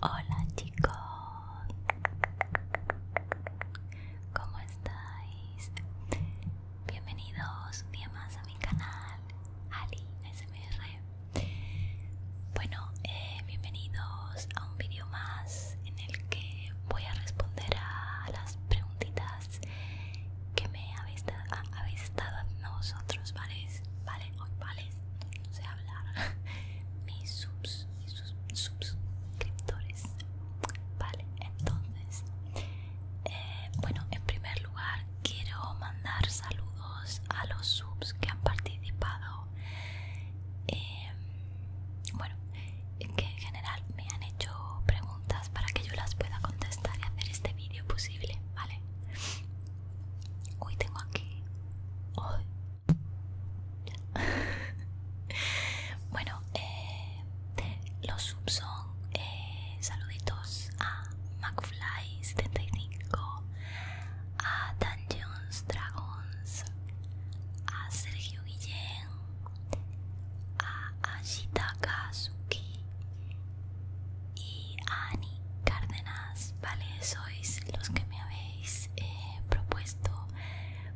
Hola chicos, ¿cómo estáis? Bienvenidos un día más a mi canal Ali Bueno, eh, bienvenidos a un vídeo más en el que voy a responder a las preguntitas que me habéis, a, nosotros estado a nosotros ¿vale? ¿Vale? Hoy, ¿vale? No sé hablar. Mis subs, sus, subscriptores. Vale, entonces, eh, bueno, en primer lugar quiero mandar saludos a los subs que han participado. Eh, bueno, que en general me han hecho preguntas para que yo las pueda contestar y hacer este vídeo posible, ¿vale? Hoy tengo aquí... bueno, eh, los subs son eh, saluditos a McFly75, a Dungeons Dragons, a Sergio Guillén, a Ashita Kazuki y a Ani Cárdenas, vale, sois los que me habéis eh, propuesto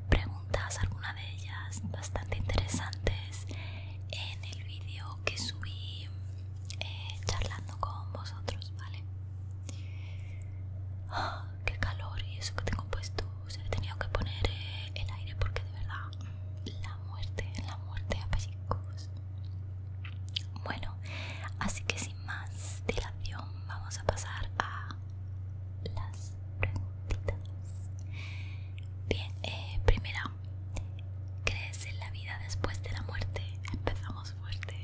preguntas, algunas de ellas bastante interesantes en el vídeo que subí eh, charlando con vosotros, vale. Ah, ¡Qué calor! Y eso que tengo puesto he tenido que poner eh, el aire porque de verdad la muerte, la muerte a pesicos Bueno, así que sin más dilación vamos a pasar a las preguntitas. Bien, eh, primera, ¿crees en la vida después de la muerte? Empezamos fuerte.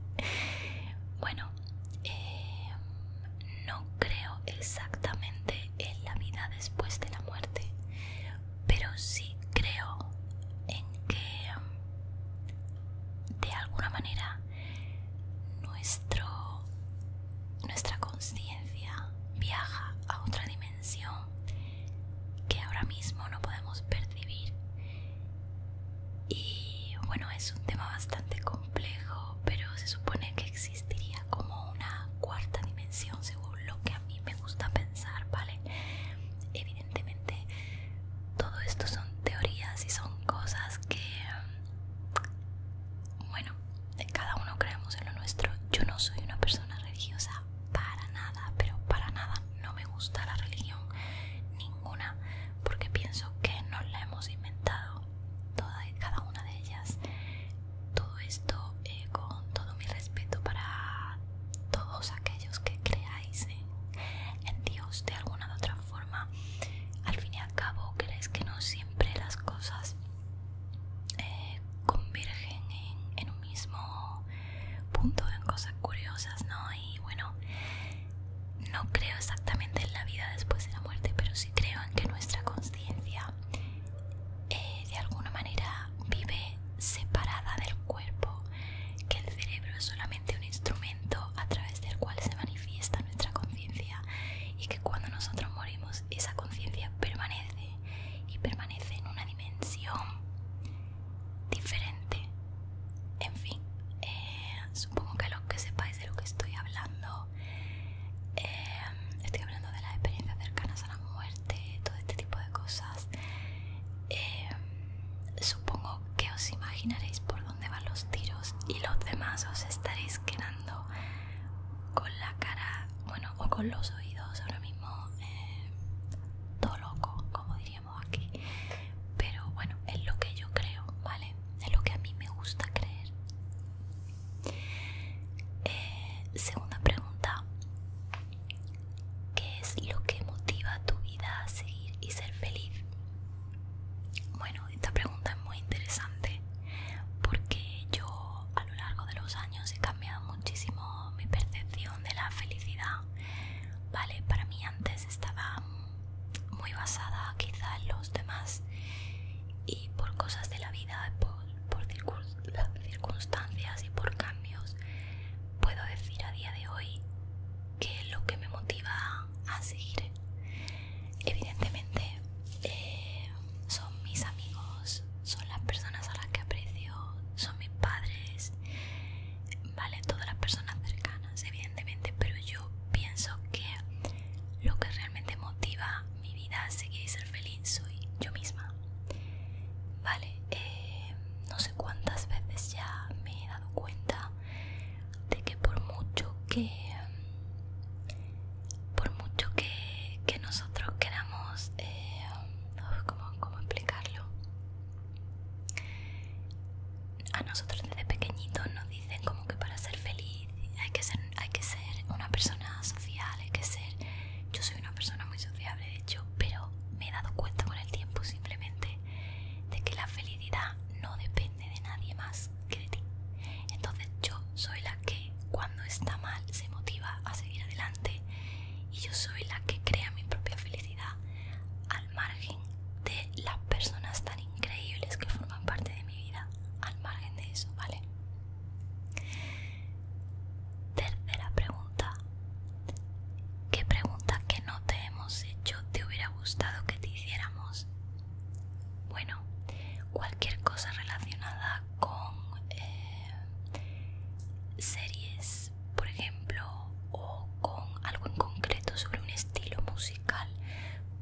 bueno, eh, no creo exactamente en la vida después de la muerte, pero sí creo en que mm, de alguna manera nuestro, nuestra conciencia viaja a otra dimensión que ahora mismo no podemos percibir. Y bueno, es un tema bastante complejo, pero se supone que existe existiría como una cuarta dimensión según lo que a mí me gusta pensar, ¿vale? Evidentemente todo esto son teorías y son cosas que mm, bueno, cada uno creemos en lo nuestro. Yo no soy una persona religiosa para nada, pero para nada no me gusta la religión ninguna porque pienso que nos la hemos inventado toda y cada una de ellas todo esto eh, con todo mi respeto para todos aquellos que creáis en, Dios de alguna u otra forma. Al fin y al cabo, creéis que no siempre las cosas eh, convergen en, en un mismo punto, en cosas curiosas, ¿no? Y bueno, no creo exactamente en la vida después de la muerte, pero sí creo en que nuestra conciencia eh, de alguna manera vive separada del cuerpo, que el cerebro es solamente un instrumento a través del cual se manifiesta nuestra conciencia y que cuando nosotros morimos esa conciencia permanece y permanece en una dimensión diferente. En fin, eh, supongo que los que sepáis de lo que estoy hablando eh, estoy hablando de las experiencias cercanas a la muerte, todo este tipo de cosas. Eh, supongo que os imaginaréis por dónde van los tiros y los demás os estaréis quedando con la cara, bueno, o con los oídos ahora mismo eh, todo loco, como diríamos aquí. Pero bueno, es lo que yo creo, ¿vale? Es lo que a mí me gusta creer. Eh, segunda pregunta, ¿qué es lo que motiva tu vida a seguir y ser feliz? Bueno, esta pregunta es muy interesante porque yo a lo largo de los años he cambiado muchísimo mi percepción de la felicidad. Vale, para mí antes estaba muy basada quizás en los demás y por cosas de la vida, por circunstancias y por cambios, puedo decir a día de hoy que lo que me motiva a seguir. Evidentemente, eh, son mis amigos, son las personas a las que aprecio, son mis padres, vale, todas las personas cercanas, evidentemente, pero yo pienso que lo que realmente motiva mi vida si ser feliz soy yo misma. Vale, eh, no sé cuántas veces ya me he dado cuenta de que por mucho que por mucho que, nosotros queramos como eh, ¿cómo, ¿cómo explicarlo? a nosotros desde pequeñitos nos dicen como que para ser feliz hay que ser hay que ser una persona social, hay que ser... Yo soy una persona muy sociable, de hecho, pero me he dado cuenta con el tiempo simplemente de que la felicidad no depende de nadie más que de ti. Entonces yo soy la que cuando está mal se motiva a seguir adelante y yo soy la que crea mi propia felicidad al margen de las personas tan increíbles que forman parte de mi vida, al margen de eso, ¿vale? Tercera pregunta. ¿Qué pregunta que no te hemos hecho te hubiera gustado que te hiciéramos? Bueno, cualquier cosa relacionada con eh, series, por ejemplo, o con algo en concreto sobre un estilo musical,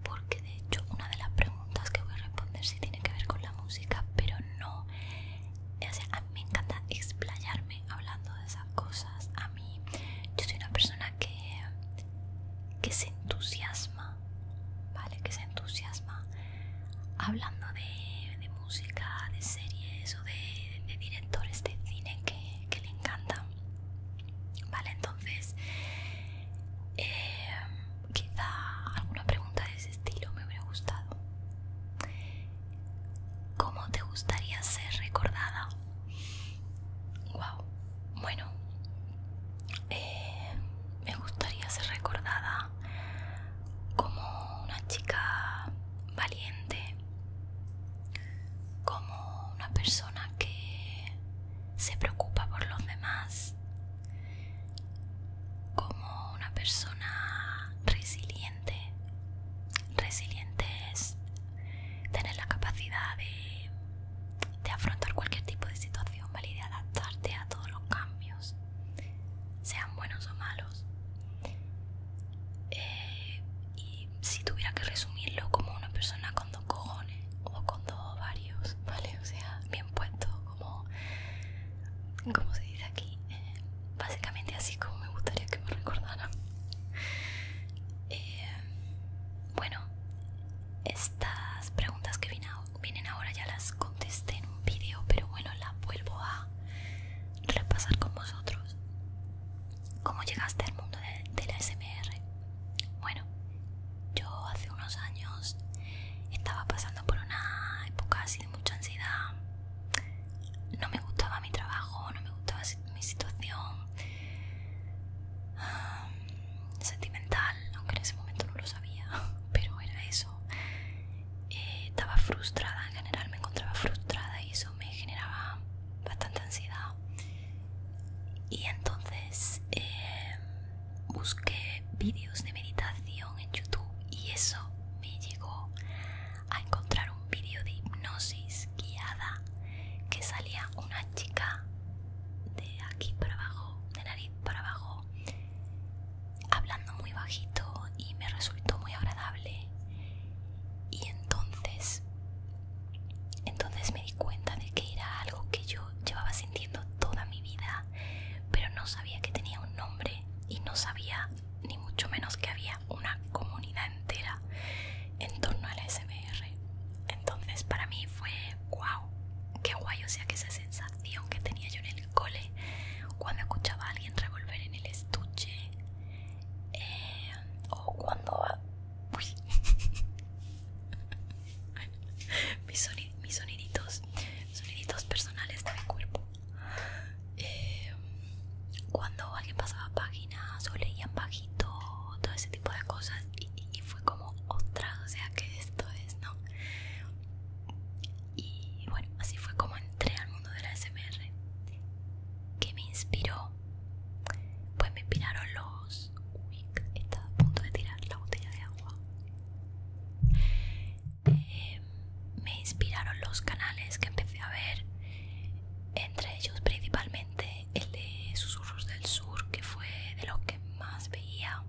porque de hecho una de las preguntas que voy a responder si tiene que ver con la música, pero no. O a mí me encanta explayarme hablando de esas cosas. A mí, yo soy una persona que, que se entusiasma, ¿vale? Que se entusiasma hablando de, de música, de series o de, directores de cine que, que le encantan. Vale, entonces eh, quizá alguna pregunta de ese estilo me hubiera gustado. ¿Cómo te gustaría ser recordada? Wow. Bueno, eh, me gustaría ser recordada como una chica valiente, como una persona que se preocupa por los demás, como una persona resiliente. Resiliente es tener la capacidad de, afrontar cualquier tipo de situación, Y de adaptarte a todos los cambios, sean buenos o malos. Eh, y si tuviera que resumirlo como una persona con dos cojones o con dos varios, O sea, bien puesto como, se dice aquí, básicamente así como me gustaría que me recordaran. Eh, bueno, estas preguntas que vienen ahora ya las contesté en un vídeo pero bueno, las vuelvo a repasar con vosotros. ¿Cómo llegaste al mundo de, de la SMR? Bueno, yo hace unos años estaba pasando por una época así de mucha ansiedad. No me gustaba mi trabajo, no me gustaba mi situación sentimental, aunque en ese momento no lo sabía, pero era eso. Eh, estaba frustrada, en general me encontraba frustrada y eso me generaba bastante ansiedad. Y entonces em, busqué vídeos de meditación en YouTube y eso me llegó a encontrar un vídeo de hipnosis guiada que salía una chica de aquí para abajo, de nariz para abajo, hablando muy bajito y me resultó muy agradable. Y entonces, entonces me di cuenta de que era algo que yo llevaba sintiendo toda mi vida pero no sabía que tenía un nombre y no sabía ni mucho menos que había una comunidad entera en torno al SMR. Entonces para mí fue wow, qué guay, o sea que esa sensación que tenía yo en el cole cuando escuchaba a alguien revolver en el estuche eh, o cuando... mis, soniditos personales de mi cuerpo eh, cuando alguien pasaba páginas o leían bajito, todo ese tipo de cosas, y, fue como ostras, o sea que esto es, ¿no? Y bueno, así fue como entré al mundo de la SMR. Que me inspiró? Pues me inspiraron los. Uy, estaba a punto de tirar la botella de agua. Em, me inspiraron los canales que empecé a ver, entre ellos principalmente el de Susurros del Sur, que fue de los que más veía.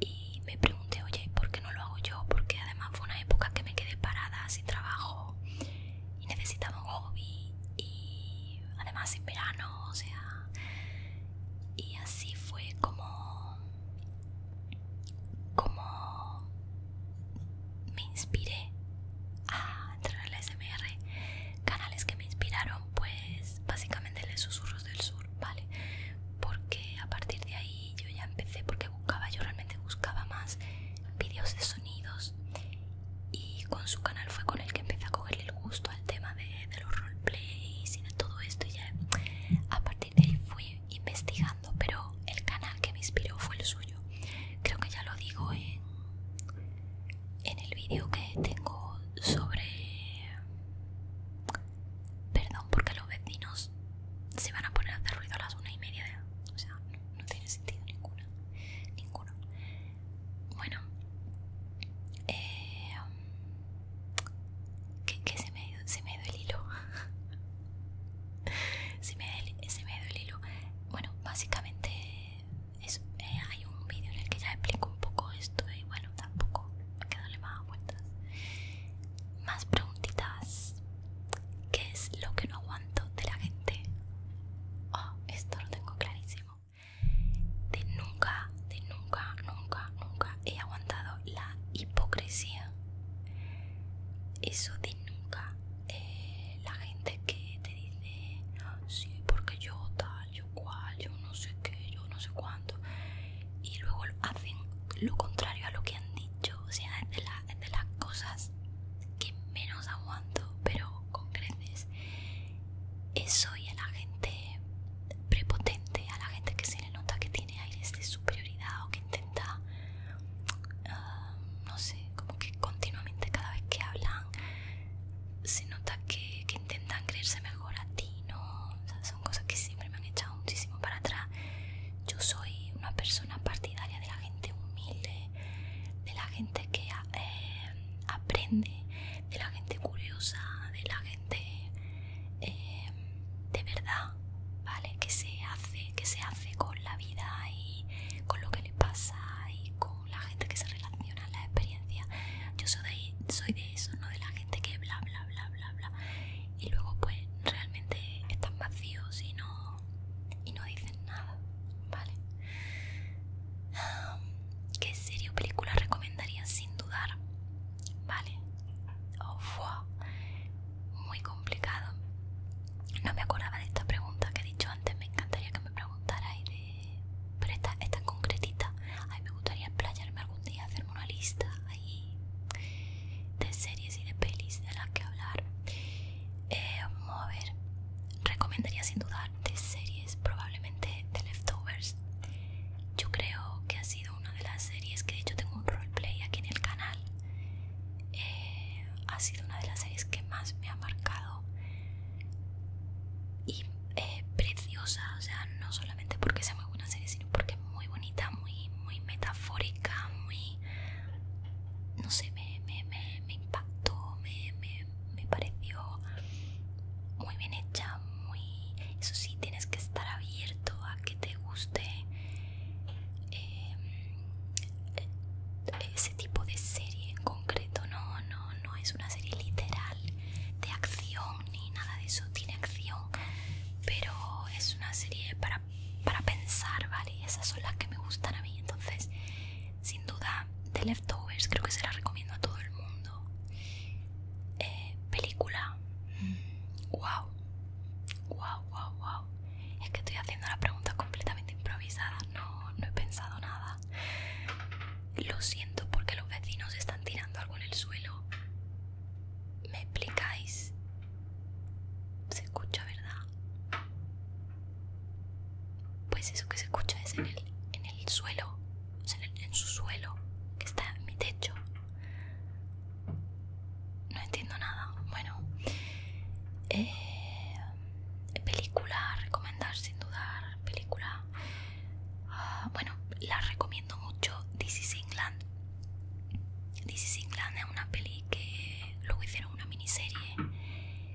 Y me pregunté, oye, ¿por qué no lo hago yo? Porque además fue una época que me quedé parada sin trabajo y necesitaba un hobby y además en verano, o sea... Y así fue como como me inspiré a entrar en SMR, canales que me inspiraron, pues básicamente de susurros del sur, ¿vale? Porque a partir de ahí yo ya empecé, porque buscaba, yo realmente buscaba más vídeos de sonidos y con su canal fue con el que empecé a cogerle el gusto al tema de, de los roleplays y de todo esto y ya a partir de ahí fui investigando, pero el canal que me inspiró fue el suyo. Creo que ya lo digo en, en el vídeo que tengo sobre... Perdón, porque los vecinos se van a poner a hacer ruido a las una y media. O sea, no, tiene sentido ninguna. Ninguno. Bueno. Eh, que, se, me, dio el hilo se, me el hilo bueno básicamente eh, hay un vídeo en el que ya explico un poco esto y bueno tampoco me le más vueltas más preguntitas ¿Qué es lo que no aguanto de la gente? Oh, esto lo tengo clarísimo. De nunca, de nunca, nunca, nunca, he aguantado la hipocresía. Eso de nunca. Eh, la gente que te dice, sí, porque yo tal, yo cual, yo no sé qué, yo no sé cuánto. Y luego hacen lo contrario a lo que han dicho. O sea, de, de las cosas que menos aguanto, pero con creces. Eso y a la gente prepotente, a la gente que se le nota que tiene tiene aires de superioridad o que intenta, ah, no sé, como que continuamente cada vez que hablan se nota que, intentan creerse mejor a ti, ¿no? son cosas que siempre me han echado muchísimo para atrás. Yo soy una persona partidaria de la gente humilde, de la gente que eh, aprende, de la gente curiosa, de la gente Em, de verdad, ¿vale? Que se hace, que se hace con la vida y con lo que le pasa y con la gente que se relaciona en la experiencia. Yo soy de, eso, no de la gente que bla bla bla bla bla. Y luego pues realmente están vacíos y no dicen nada, ¿vale? ¿Qué serie o película recomendarías sin dudar? ¿vale? Oh, Muy complicado. No me acordaba de esta pregunta que he dicho antes, me encantaría que me preguntarais de... Pero esta es tan concretita. me gustaría explayarme algún día, hacerme una lista ahí de series y de pelis de las que hablar. Eh, vamos a ver. Recomendaría sin dudar de series, probablemente de leftovers. Yo creo que ha sido una de las series que de hecho tengo un roleplay aquí en el canal eh, ha sido una de las series que más me ha marcado y eh, preciosa o sea no solamente porque sea muy buena serie sino porque es muy bonita muy muy metafórica muy no sé me, me, impactó me, me, me pareció muy bien hecha muy eso sí tienes que estar abierto a que te guste eh, ese tipo de serie en concreto no, no, no es una serie literal de acción ni nada de eso tiene acción pero es una serie para, pensar vale esas son las que me gustan a mí entonces sin duda The Leftovers creo que se la recomiendo a todo el mundo eh, película wow mm, Wow, wow, wow. Es que estoy haciendo la pregunta completamente improvisada. No, no he pensado nada. Lo siento porque los vecinos están tirando algo en el suelo. ¿Me explicáis? Se escucha, ¿verdad? Pues eso que se escucha es en el, en el suelo, en, en su suelo, que está en mi techo. No entiendo nada. Bueno, eh, película recomendar sin dudar. Película. Ah, bueno, la recomiendo mucho. This is England. This England es una peli que luego hicieron una miniserie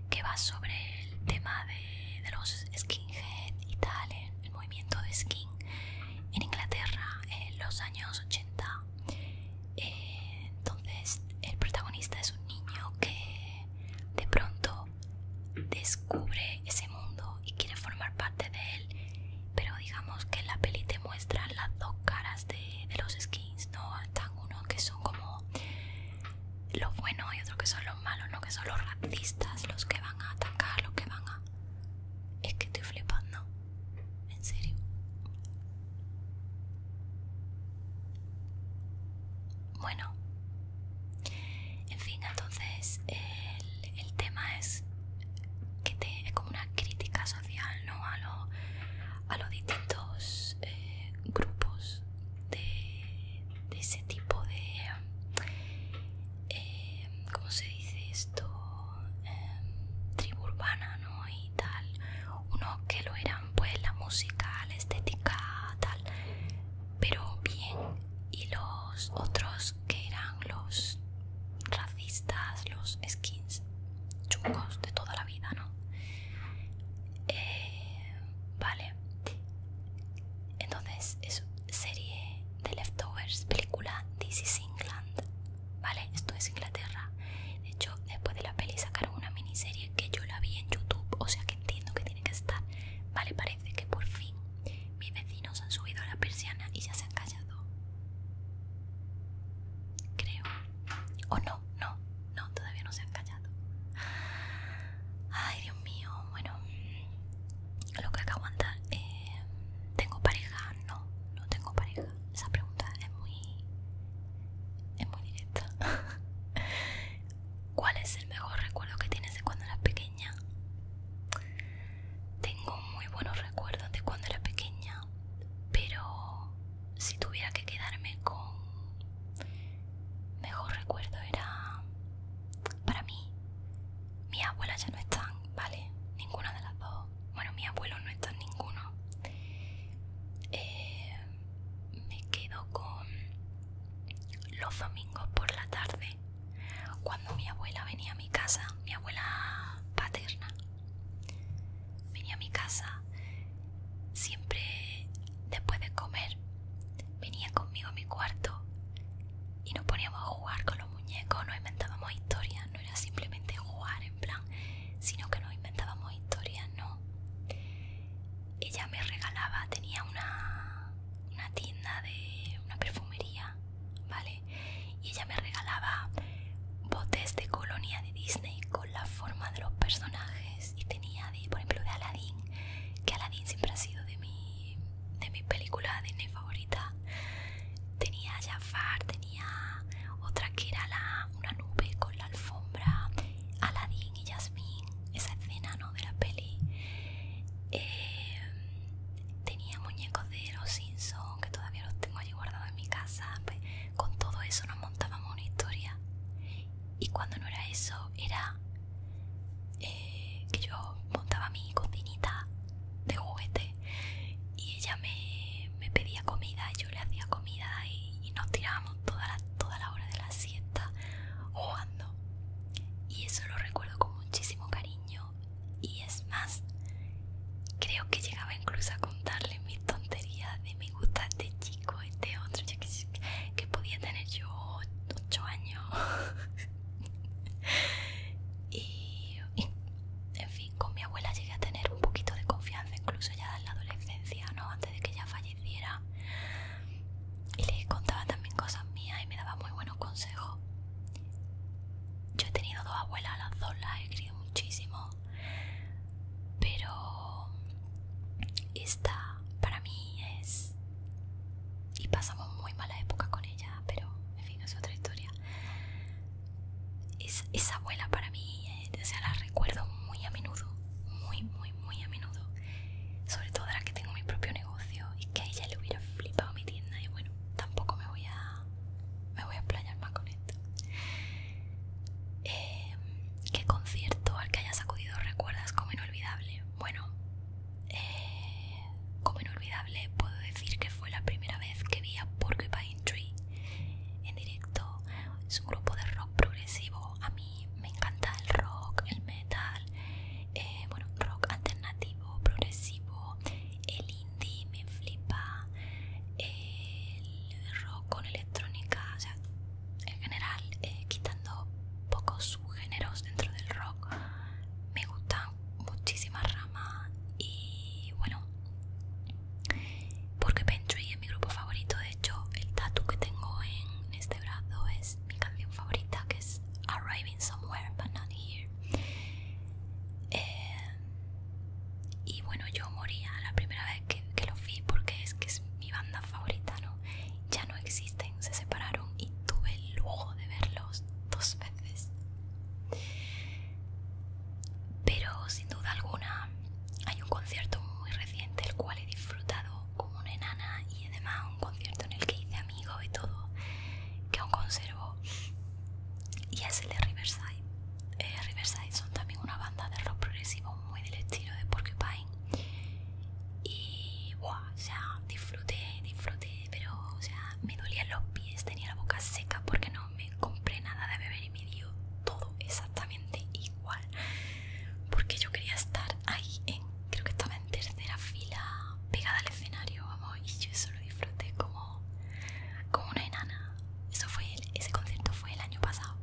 que va sobre el tema de, los skinheads y tal, el movimiento de skin en Inglaterra en los años 80 entonces el protagonista es un niño que de pronto descubre ese mundo y quiere formar parte de él, pero digamos que la peli te muestra las dos caras de, los skins, ¿no? Están uno que son como los buenos y otro que son los malos, ¿no? Que son los racistas, los que van a atacar, los que van a... Es que estoy flipando. En serio. Bueno. En fin, entonces el, tema es que te, es como una crítica social ¿no? a, lo, los distintos eh, grupos de, ese tipo de... Eh, ¿Cómo se dice esto? Em, tribu urbana, ¿no? Y tal, unos que lo eran pues la música, la estética, tal, pero bien, y los otros que eran los racistas, los skins chungos de toda la vida, ¿no? Eh, vale. Entonces, es serie de leftovers, película This is England, ¿vale? Esto es Inglaterra. De hecho, después de la peli sacaron una miniserie que yo la vi en YouTube, o sea que entiendo que tiene que estar, ¿vale? Parece que por fin mis vecinos han subido a la persiana y ya se han callado. Creo. O no, no, no, todavía no se han callado. Ay, Dios mío, bueno, lo que hay que aguantar. Eh, ¿Tengo pareja? No, no tengo pareja esa pregunta es muy, directa. ¿Cuál es el mejor recuerdo que tienes de cuando eras pequeña? Tengo muy buenos recuerdos de cuando era pequeña, pero si tuviera que quedarme con mejor recuerdo era para mí. mi abuela ya no están, ¿vale? Ninguna de las dos bueno, mi abuelo no está en ninguno. Eh, me quedo con los domingos por la tarde, cuando mi abuela venía a mi casa, mi abuela paterna venía a mi casa, siempre después de comer venía conmigo a mi cuarto y nos poníamos a jugar con los muñecos, nos inventábamos historias no era simplemente jugar en plan, sino que nos inventábamos historias, no. Ella me regalaba, tenía una, una tienda de una perfumería, ¿vale? Y ella me regalaba botes de colonia de Disney con la forma de los personajes y tenía, de, por ejemplo, de Aladdin, que Aladdin siempre ha sido de mi, de mi película Disney favorita. Tenía Jafar, tenía tenía otra que era una nube con la alfombra, Aladdin y Jasmine, esa escena de la peli. Eh, tenía muñecos de los Simpsons que todavía los tengo allí guardados en mi casa. Pues, con todo eso nos montábamos una historia. Y cuando no era eso, era eh, que yo montaba mi cocinita de juguete y ella me, pedía comida y yo le hacía comida y, nos tirábamos toda la, toda la hora de la siesta jugando y eso lo recuerdo con muchísimo cariño y es más creo que llegaba incluso a contarle mis tonterías de me gusta este chico este otro que, podía tener yo 8 años y, en fin con mi abuela llegué a tener un poquito de confianza, incluso ya en la adolescencia, ¿no? Antes de que ella falleciera. Y le contaba también cosas mías y me daba muy buenos consejos. Yo he tenido dos abuelas, las dos las he querido muchísimo. Pero esta para mí es... Y pasamos muy mala época con ella, pero en fin, es otra historia es, esa abuela para mí, eh, sea, la recuerdo muy a menudo, muy, muy, muy a menudo. Sobre todo ahora que tengo mi propio negocio y que ella le hubiera flipado mi tienda y bueno, tampoco me voy a, me voy a explayar más con esto. Em, ¿Qué concierto al que haya sacudido recuerdas como inolvidable? Bueno, eh, como inolvidable puedo decir que fue la primera vez que vi a País en directo. Es un grupo de rock progresivo. A mí me encanta el rock, el metal, eh, bueno, rock alternativo, progresivo, el indie me flipa, el rock con electrónica, o sea, en general, eh, quitando pocos subgéneros dentro del rock, me gustan muchísimas rama y bueno, porque Pentry es mi grupo favorito. De hecho, el tatu que tengo en este brazo es mi canción favorita, que es Arriving Somewhere But Not Here. Eh, y bueno, yo moría la primera vez que, lo fui vi porque es que es mi banda favorita, ¿no? Ya no existen, se separaron y tuve el lujo de verlos dos veces. Pero sin duda alguna hay un concierto muy reciente el cual he disfrutado como una enana y además un concierto en el que hice amigos y todo que aún conservo y es el de Riverside. Eh, Riverside son también una banda de rock progresivo muy del estilo de Porcupine y wow, o disfruté, disfruté, pero o sea, me dolían los pies, tenía la boca seca porque no no me compré nada de beber y me dio todo exactamente igual porque yo quería estar ahí en creo que estaba en tercera fila pegada al escenario vamos y yo eso lo disfruté como como una enana eso fue ese concierto fue el año pasado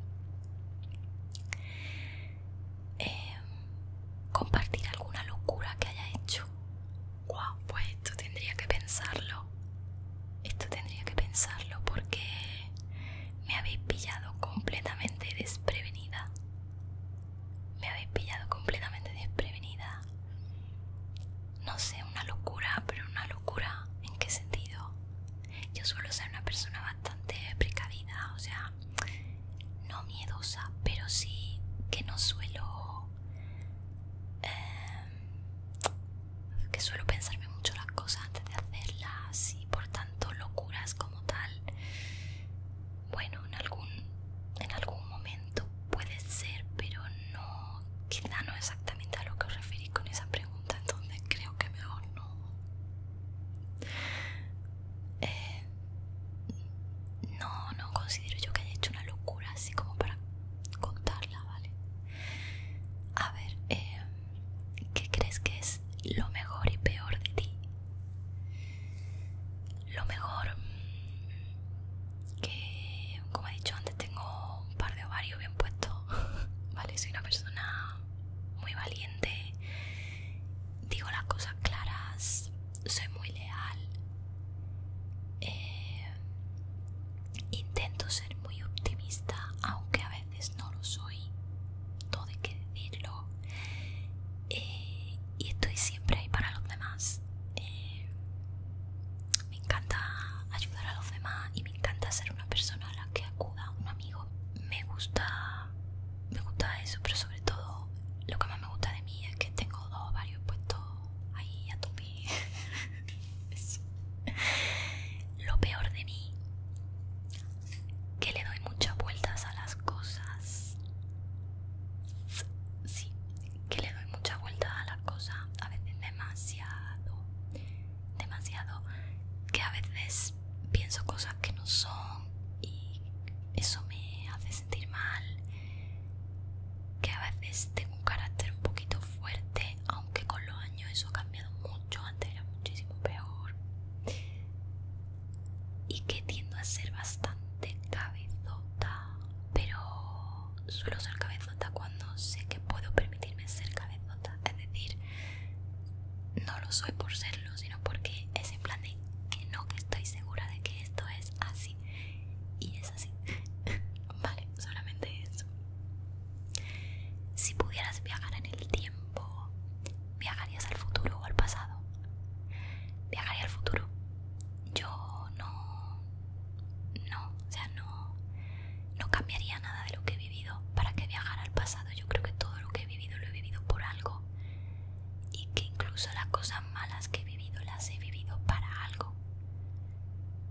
em, compartir alguna locura que haya hecho wow pues esto tendría que pensarlo esto tendría que pensarlo porque me habéis pillado completamente desprevenida. Me habéis pillado completamente desprevenida. No sé, una locura, pero una locura. ¿En qué sentido? Yo suelo ser una persona bastante precavida, o sea, no miedosa, pero sí que no suelo... Eh, que suelo pensarme mucho las cosas antes de hacerlas y por tanto locuras como tal. Bueno, en algún, en algún momento puede ser, pero no, quizá no exactamente a lo que os referís con esa pregunta, entonces creo que mejor no. Eh, no, no considero yo que haya hecho una locura así como para contarla, ¿vale? A ver, em, ¿qué crees que es lo mejor y peor de ti? Lo mejor mm, que, como he dicho antes, tengo un par de ovarios bien puestos, ¿vale? Soy una persona muy valiente, digo las cosas claras, soy muy leal, eh, Intento ser muy optimista, aunque a veces no lo soy, todo hay que decirlo. Eh, y estoy siempre ahí para los demás. Eh, me encanta ayudar a los demás y me encanta ser una persona a la que acuda un amigo. Me gusta, me gusta eso, pero sobre todo lo que más me gusta de mí es que tengo dos varios puestos ahí a tu Lo peor de mí, que le doy muchas vueltas a las cosas. Sí, que le doy muchas vueltas a las cosas, a veces demasiado, demasiado, que a veces pienso cosas que no son y eso me hace sentir mal. Que a veces tengo un carácter un poquito fuerte, aunque con los años eso cambia mucho, antes era muchísimo peor. Y que tiendo a ser bastante cabezota, pero suelo ser cabezota cuando sé que puedo permitirme ser cabezota. Es decir, no lo soy por serlo, sino porque es en plan de que no, que estoy segura de que esto es así. Y es así. vale, solamente eso. Si pudieras viajar en el tiempo, ¿viajarías al futuro o al pasado? Viajaría al futuro. Yo no... No, o sea, no... No cambiaría nada de lo que he vivido para que viajara al pasado. Yo creo que todo lo que he vivido lo he vivido por algo. Y que incluso las cosas malas que he vivido las he vivido para algo.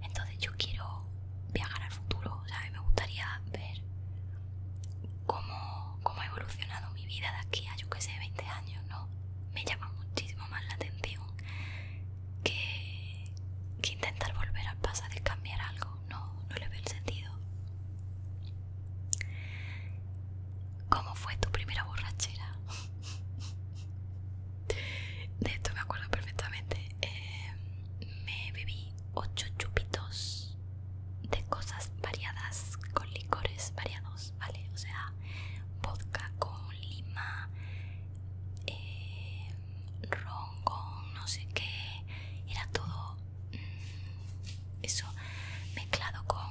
Entonces yo quiero viajar al futuro, ¿sabes? Me gustaría ver cómo, ha evolucionado mi vida de aquí a, yo que sé, 20 años, ¿no? Me llama muchísimo más la atención que, intentar volver al pasado y cambiar algo, no, no le veo el sentido. ¿Cómo fue tu primera borrachera? De esto me acuerdo perfectamente. Eh, me bebí ocho chupitos de cosas variadas con licores variados, ¿vale? O sea, vodka con lima, eh, ron con no sé qué, era todo mm, eso mezclado con,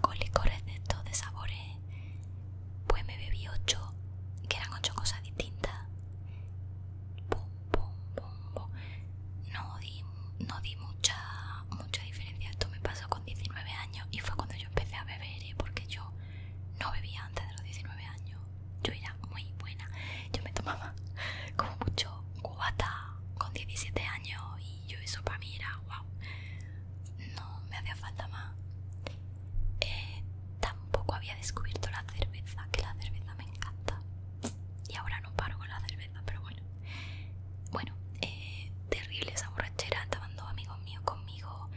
con licores de todo de sabores. Pues me bebí ocho, que eran ocho cosas distintas. No di, no di mucha, mucha diferencia. Esto me pasó con 19 años y fue cuando yo empecé a beber, ¿eh? porque yo no bebía antes de los 19 años. Yo era muy buena. Yo me tomaba como mucho guata con 17 años y yo eso para mí era wow. No me hacía falta más. Eh, tampoco había descubierto la cerveza, que la cerveza me encanta. Y ahora no paro con la cerveza, pero bueno. Bueno, eh, terrible esa borrachera, estaban dos amigos míos conmigo.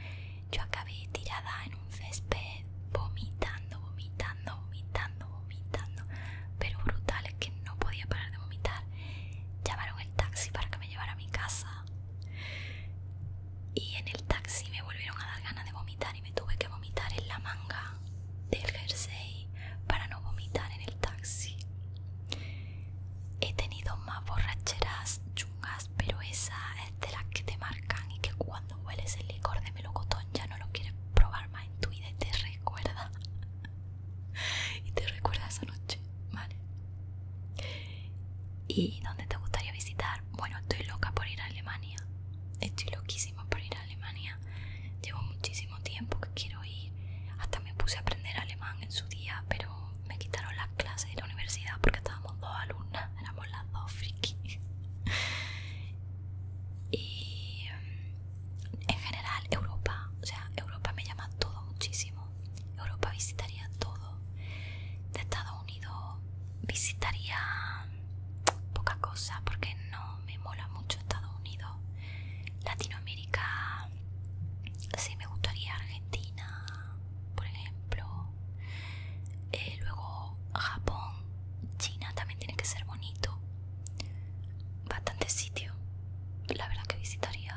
Yo acabé tirada en un césped, vomitando, vomitando, vomitando, vomitando. Pero brutal, es que no podía parar de vomitar. Llamaron el taxi para que me llevara a mi casa. Y en el taxi me volvieron a dar ganas de vomitar y me tuve que vomitar en la manga del jersey para no vomitar en el taxi. He tenido más borracheras chungas, pero esa es de las que te marcan y que cuando hueles el licor de melocotón ya no lo quieres probar más en tu vida y te recuerda. y te recuerda esa noche, ¿vale? ¿Y dónde te gustaría visitar? Bueno, estoy loca por ir a Alemania. Estoy loquísima por ir a Alemania. Llevo muchísimo tiempo que quiero ir. Hasta me puse a aprender alemán en su día, pero me quitaron las clases de la universidad porque estábamos dos alumnas, éramos las dos frikis. Y mm, en general Europa, o sea, Europa me llama todo muchísimo. Europa visitaría todo. De Estados Unidos visitaría poca cosa porque no me mola mucho Estados Unidos. Latinoamérica, sí me gustaría Argentina, por ejemplo. Eh, luego Japón, China también tiene que ser bonito. Bastante sitio. La verdad que visitaría,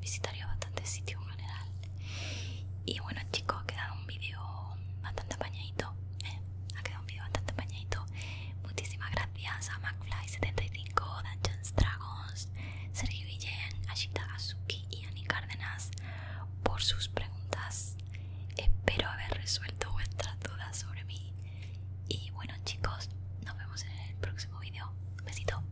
visitaría bastante sitio en general. Y bueno chicos, ha quedado un vídeo bastante apañadito. Eh, ha quedado un video bastante bañadito. Muchísimas gracias a McFly75, Dungeons Dragons, Sergio Guillén, Ashita Azuki y Ani Cárdenas por sus preguntas. Espero haber resuelto vuestras dudas sobre mí. Y bueno, chicos, nos vemos en el próximo vídeo. Besito.